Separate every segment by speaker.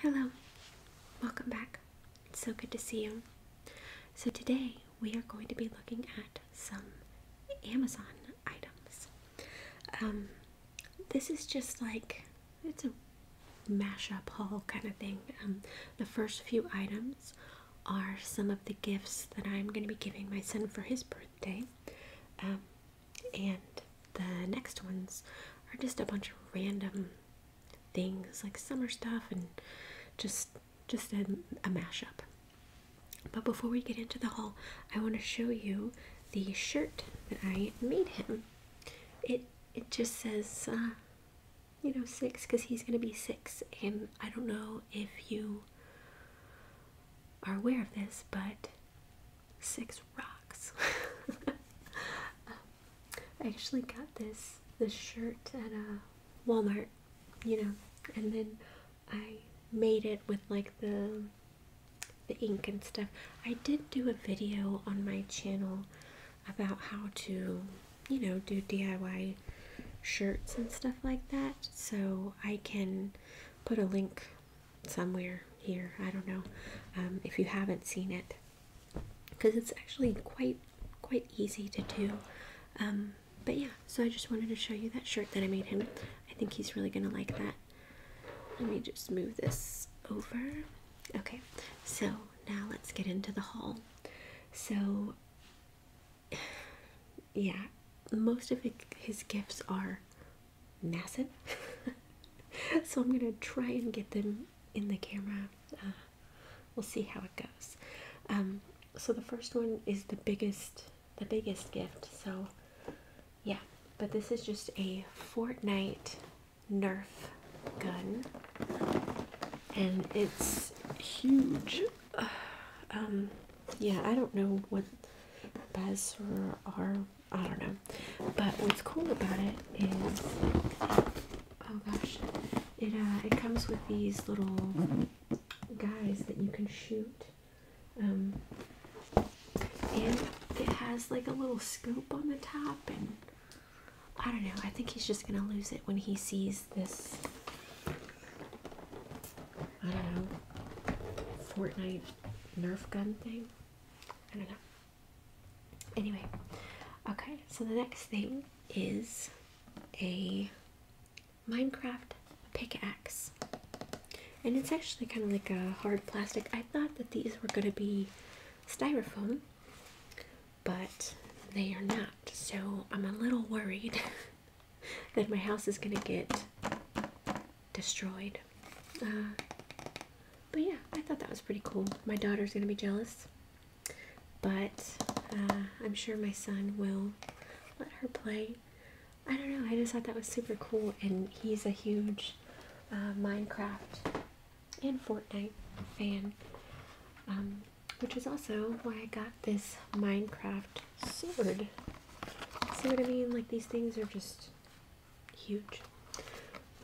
Speaker 1: Hello, welcome back. It's so good to see you. So, today we are going to be looking at some Amazon items. Um, this is just like it's a mashup haul kind of thing. Um, the first few items are some of the gifts that I'm going to be giving my son for his birthday. Um, and the next ones are just a bunch of random things like summer stuff and just just a, a mashup. But before we get into the haul, I want to show you the shirt that I made him. It it just says uh, you know six because he's gonna be six, and I don't know if you are aware of this, but six rocks. I actually got this this shirt at a uh, Walmart, you know, and then I made it with like the the ink and stuff. I did do a video on my channel about how to, you know, do DIY shirts and stuff like that. So I can put a link somewhere here. I don't know um, if you haven't seen it because it's actually quite quite easy to do. Um, but yeah, so I just wanted to show you that shirt that I made him. I think he's really gonna like that. Let me just move this over. Okay, so now let's get into the haul. So, yeah, most of his gifts are massive. so I'm gonna try and get them in the camera. Uh, we'll see how it goes. Um, so the first one is the biggest, the biggest gift. So yeah, but this is just a Fortnite Nerf gun, and it's huge. Um, yeah, I don't know what Baz are. I don't know. But what's cool about it is, oh gosh, it uh, it comes with these little guys that you can shoot, um, and it has like a little scoop on the top. And I don't know. I think he's just gonna lose it when he sees this. I don't know. Fortnite Nerf gun thing. I don't know. Anyway, okay, so the next thing is a Minecraft pickaxe. And it's actually kind of like a hard plastic. I thought that these were going to be styrofoam, but they are not. So I'm a little worried that my house is going to get destroyed. Uh, but yeah, I thought that was pretty cool. My daughter's gonna be jealous, but uh, I'm sure my son will let her play. I don't know. I just thought that was super cool, and he's a huge uh, Minecraft and Fortnite fan, um, which is also why I got this Minecraft sword. See what I mean? Like these things are just huge.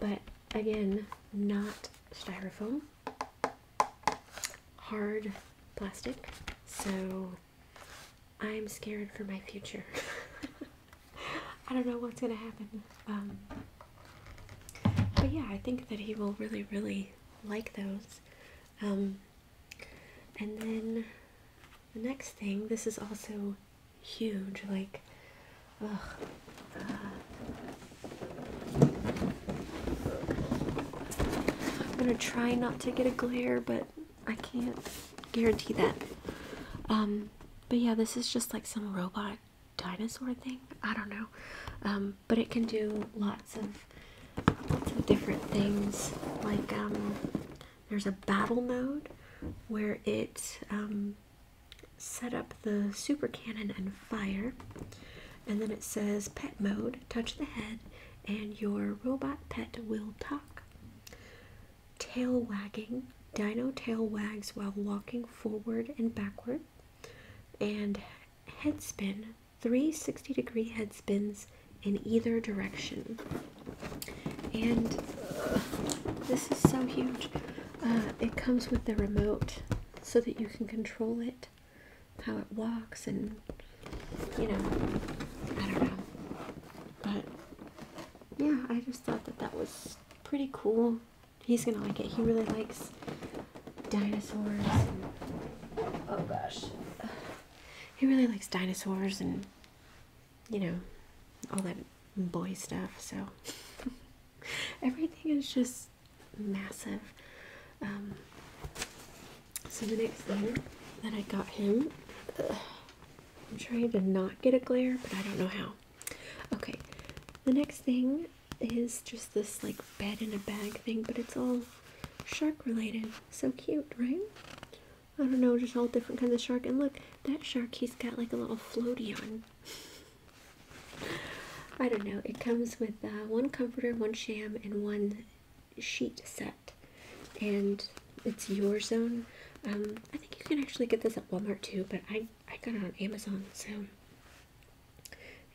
Speaker 1: But again, not styrofoam, hard plastic. So I'm scared for my future. I don't know what's gonna happen. Um, but yeah, I think that he will really, really like those. Um, and then the next thing, this is also huge, like, uh. I'm gonna try not to get a glare, but I can't guarantee that. Um, but yeah, this is just like some robot dinosaur thing. I don't know. Um, but it can do lots of lots of different things, like um, there's a battle mode where it um, set up the super cannon and fire, and then it says pet mode. Touch the head, and your robot pet will talk. Tail wagging. Dino tail wags while walking forward and backward, and head spin. Three 60 degree head spins in either direction. And uh, this is so huge. Uh, it comes with the remote so that you can control it, how it walks, and you know, I don't know. But yeah, I just thought that that was pretty cool. He's gonna like it. He really likes dinosaurs. oh gosh. He really likes dinosaurs and you know, all that boy stuff. So everything is just massive. Um, so the next thing that I got him, I'm trying to not get a glare, but I don't know how. Okay, the next thing is just this like bed and a bag thing, but it's all shark related. So cute, right? I don't know, just all different kinds of shark. And look, that shark, he's got like a little floaty on. I don't know. It comes with uh, one comforter, one sham, and one sheet set. And it's your zone. Um, I think you can actually get this at Walmart too, but I, I got it on Amazon. So,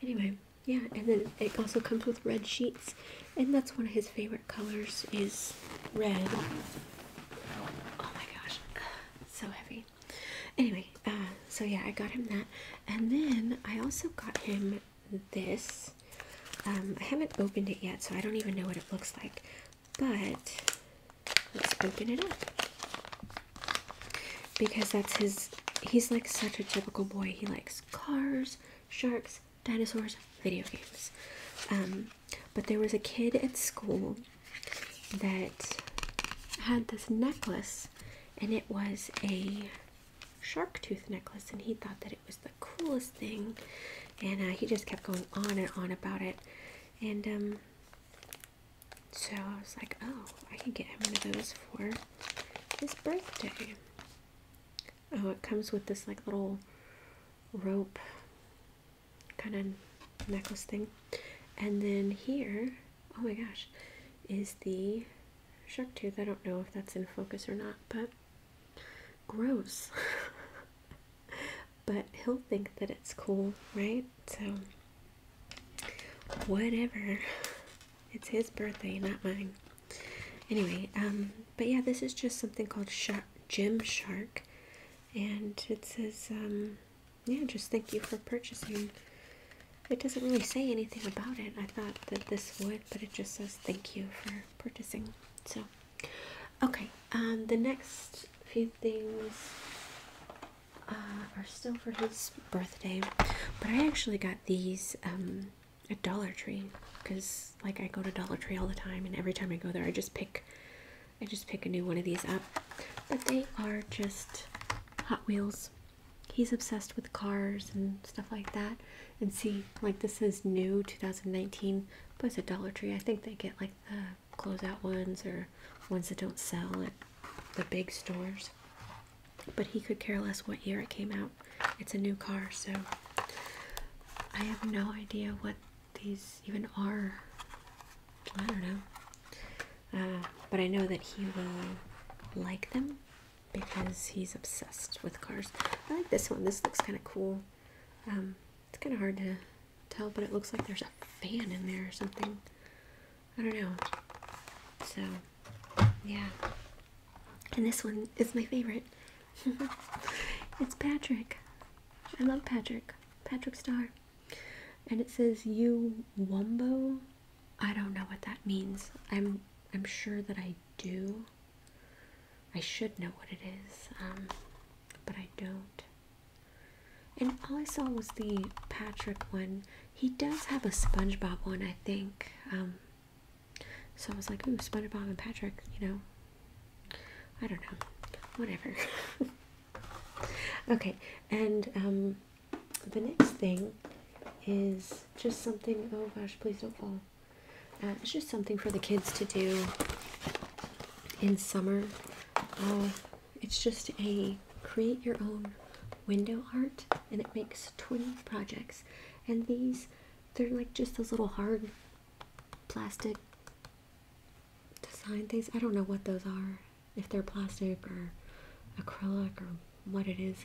Speaker 1: anyway, yeah. And then it also comes with red sheets. And that's one of his favorite colors is red. Oh my gosh, so heavy. Anyway, uh, so yeah, I got him that, and then I also got him this. Um, I haven't opened it yet, so I don't even know what it looks like. But let's open it up because that's his. He's like such a typical boy. He likes cars, sharks, dinosaurs, video games. Um, but there was a kid at school that had this necklace, and it was a shark tooth necklace, and he thought that it was the coolest thing, and uh, he just kept going on and on about it, and um, so I was like, oh, I can get him one of those for his birthday. Oh, it comes with this like little rope kind of necklace thing. And then here, oh my gosh, is the shark tooth. I don't know if that's in focus or not, but gross. but he'll think that it's cool, right? So, whatever. It's his birthday, not mine. Anyway, um, but yeah, this is just something called Shark, Gym Shark, and it says, um, yeah, just thank you for purchasing. It doesn't really say anything about it. I thought that this would, but it just says thank you for purchasing. So, okay, um, the next few things uh, are still for his birthday, but I actually got these at Dollar Tree because like I go to Dollar Tree all the time and every time I go there I just pick I just pick a new one of these up but they are just Hot Wheels he's obsessed with cars and stuff like that and see like this is new 2019 but it's a Dollar Tree I think they get like the closeout ones or ones that don't sell at the big stores but he could care less what year it came out it's a new car, so I have no idea what these even are. I don't know. Uh, but I know that he will like them because he's obsessed with cars. I like this one. This looks kind of cool. Um, it's kind of hard to tell, but it looks like there's a fan in there or something. I don't know. So, yeah. And this one is my favorite. it's Patrick. I love Patrick. Patrick Star. And it says you Wombo. I don't know what that means. I'm I'm sure that I do. I should know what it is. Um, but I don't. And all I saw was the Patrick one. He does have a SpongeBob one, I think. Um, so I was like, ooh, SpongeBob and Patrick, you know. I don't know. Whatever. okay, and um, the next thing is just something oh gosh, please don't fall. Um, it's just something for the kids to do in summer. Uh, it's just a create your own window art and it makes 20 projects and these they're like just those little hard plastic design things. I don't know what those are, if they're plastic or acrylic or what it is.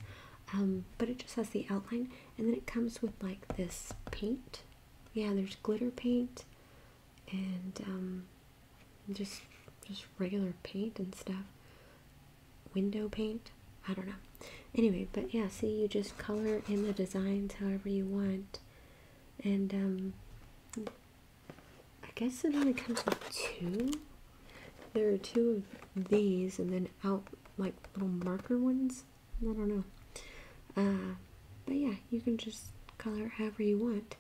Speaker 1: Um, but it just has the outline, and then it comes with like this paint. Yeah, there's glitter paint, and um, just just regular paint and stuff. Window paint. I don't know. Anyway, but yeah, see, you just color in the designs however you want. And, um, I guess it only comes with two. There are two of these, and then out, like, little marker ones. I don't know. Uh, but yeah, you can just color however you want.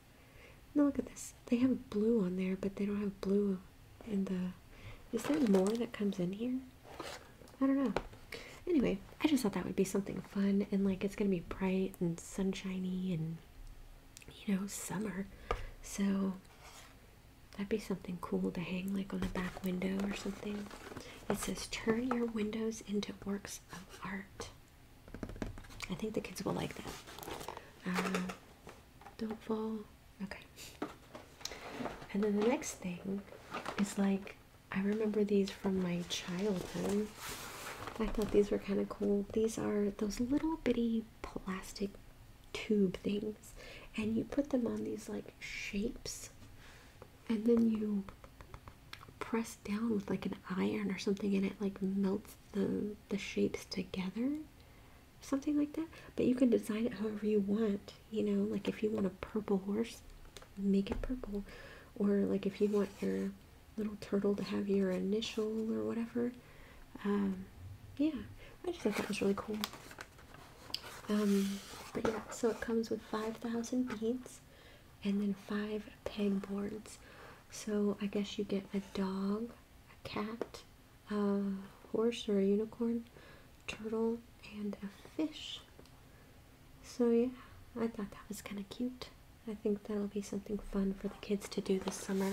Speaker 1: Now look at this. They have blue on there, but they don't have blue in the... Is there more that comes in here? I don't know. Anyway, I just thought that would be something fun and like it's gonna be bright and sunshiny and you know, summer. So that'd be something cool to hang like on the back window or something. It says turn your windows into works of art. I think the kids will like that. Uh, don't fall Okay. And then the next thing is like I remember these from my childhood. I thought these were kind of cool. These are those little bitty plastic tube things, and you put them on these like shapes, and then you press down with like an iron or something, and it like melts the the shapes together, something like that. But you can design it however you want you know, like if you want a purple horse, make it purple, or like if you want your little turtle to have your initial or whatever. Um, yeah, I just thought that was really cool. Um, but yeah, so it comes with 5,000 beads and then five pegboards. So I guess you get a dog, a cat, a horse or a unicorn, turtle, and a fish. So yeah, I thought that was kind of cute. I think that'll be something fun for the kids to do this summer.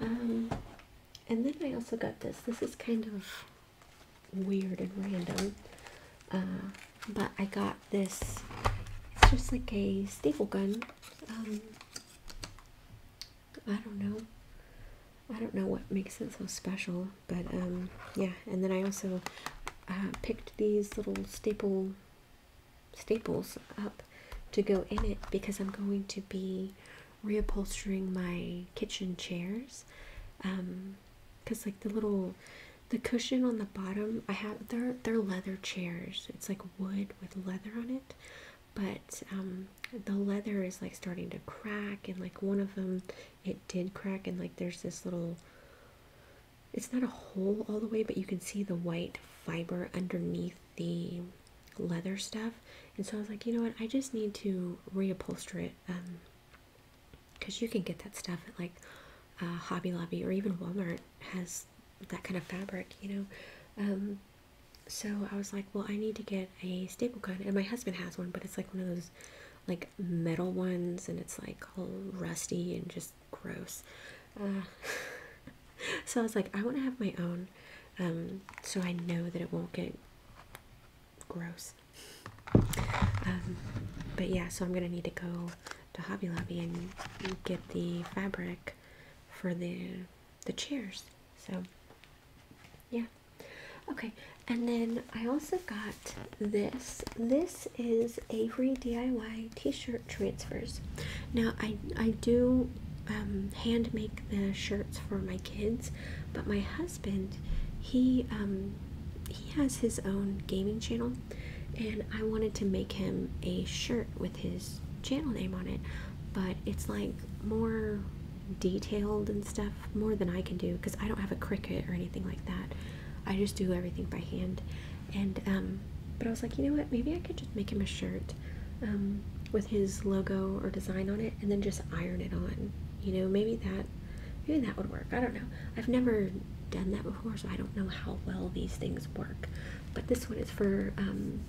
Speaker 1: Um, and then I also got this. This is kind of weird and random, uh, but I got this. It's just like a staple gun. Um, I don't know. I don't know what makes it so special, but um, yeah. And then I also uh, picked these little staple staples up to go in it because I'm going to be reupholstering my kitchen chairs. Um, cause like the little the cushion on the bottom, I have they're they're leather chairs. It's like wood with leather on it but um, the leather is like starting to crack, and like one of them, it did crack, and like there's this little. It's not a hole all the way, but you can see the white fiber underneath the leather stuff. And so I was like, you know what? I just need to reupholster it. because um, you can get that stuff at like uh, Hobby Lobby or even Walmart has that kind of fabric, you know. Um, so I was like, well, I need to get a staple gun, and my husband has one, but it's like one of those like metal ones, and it's like all rusty and just gross. so I was like, I want to have my own, um, so I know that it won't get gross. Um, but yeah, so I'm gonna need to go to Hobby Lobby and get the fabric for the the chairs. So yeah. Okay. And then I also got this. This is Avery DIY T-shirt transfers. Now I I do um, hand make the shirts for my kids, but my husband he um, he has his own gaming channel, and I wanted to make him a shirt with his channel name on it, but it's like more detailed and stuff more than I can do because I don't have a cricket or anything like that. I just do everything by hand. And um, but I was like, you know what? Maybe I could just make him a shirt um, with his logo or design on it, and then just iron it on. You know, maybe that maybe that would work. I don't know. I've never done that before, so I don't know how well these things work. But this one is for um,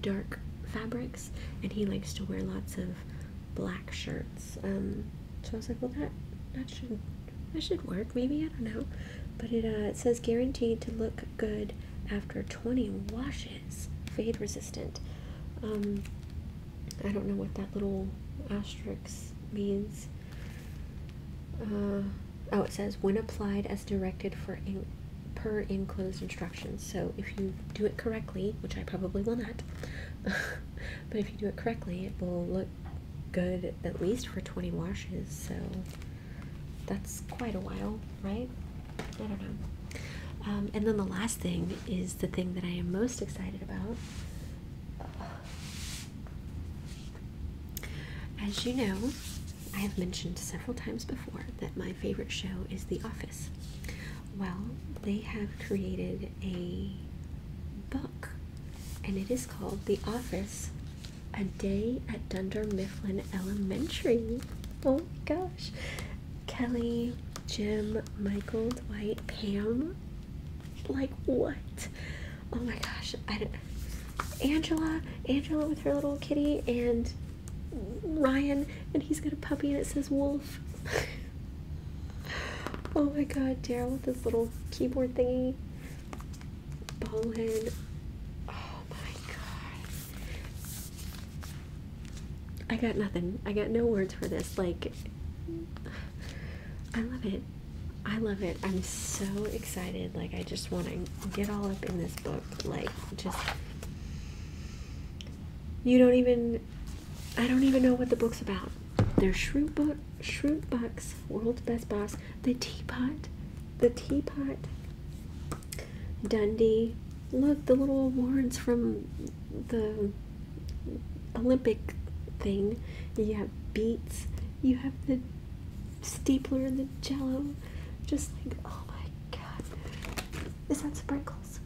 Speaker 1: dark fabrics and he likes to wear lots of black shirts um, so i was like well that that should that should work maybe i don't know but it uh, it says guaranteed to look good after 20 washes fade resistant um, i don't know what that little asterisk means uh, oh it says when applied as directed for a per enclosed instructions. So if you do it correctly, which I probably will not, but if you do it correctly, it will look good at least for 20 washes. So that's quite a while, right? I don't know. Um, and then the last thing is the thing that I am most excited about. As you know, I have mentioned several times before that my favorite show is The Office. Well, they have created a book, and it is called The Office A Day at Dunder Mifflin Elementary. Oh my gosh. Kelly, Jim, Michael, Dwight, Pam. Like, what? Oh my gosh. I don't. Angela, Angela with her little kitty, and Ryan and he's got a puppy and it says wolf. oh my god, Daryl with this little keyboard thingy. Ballin. Oh my god. I got nothing. I got no words for this. Like, I love it. I love it. I'm so excited. Like, I just want to get all up in this book. Like, just. You don't even. I don't even know what the book's about. There's are book, bu Shroot Bucks, World's Best Boss, The Teapot, The Teapot, Dundee. Look, the little awards from the Olympic thing. You have beets, you have the stapler and the jello. Just like, oh my god. Is that sprinkles?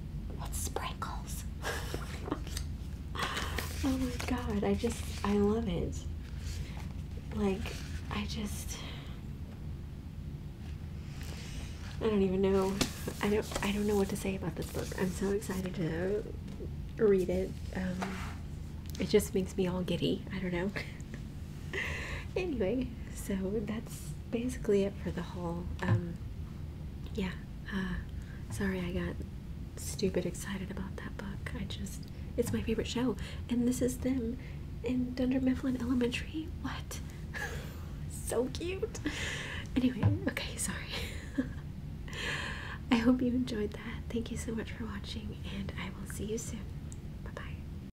Speaker 1: It's sprinkles. oh my god, I just, I love it. Like, I just. I don't even know. I don't. I don't know what to say about this book. I'm so excited to read it. Um, it just makes me all giddy. I don't know. anyway, so that's basically it for the whole um, yeah uh, sorry i got stupid excited about that book i just it's my favorite show and this is them in dunder mifflin elementary what so cute anyway okay sorry i hope you enjoyed that thank you so much for watching and i will see you soon bye bye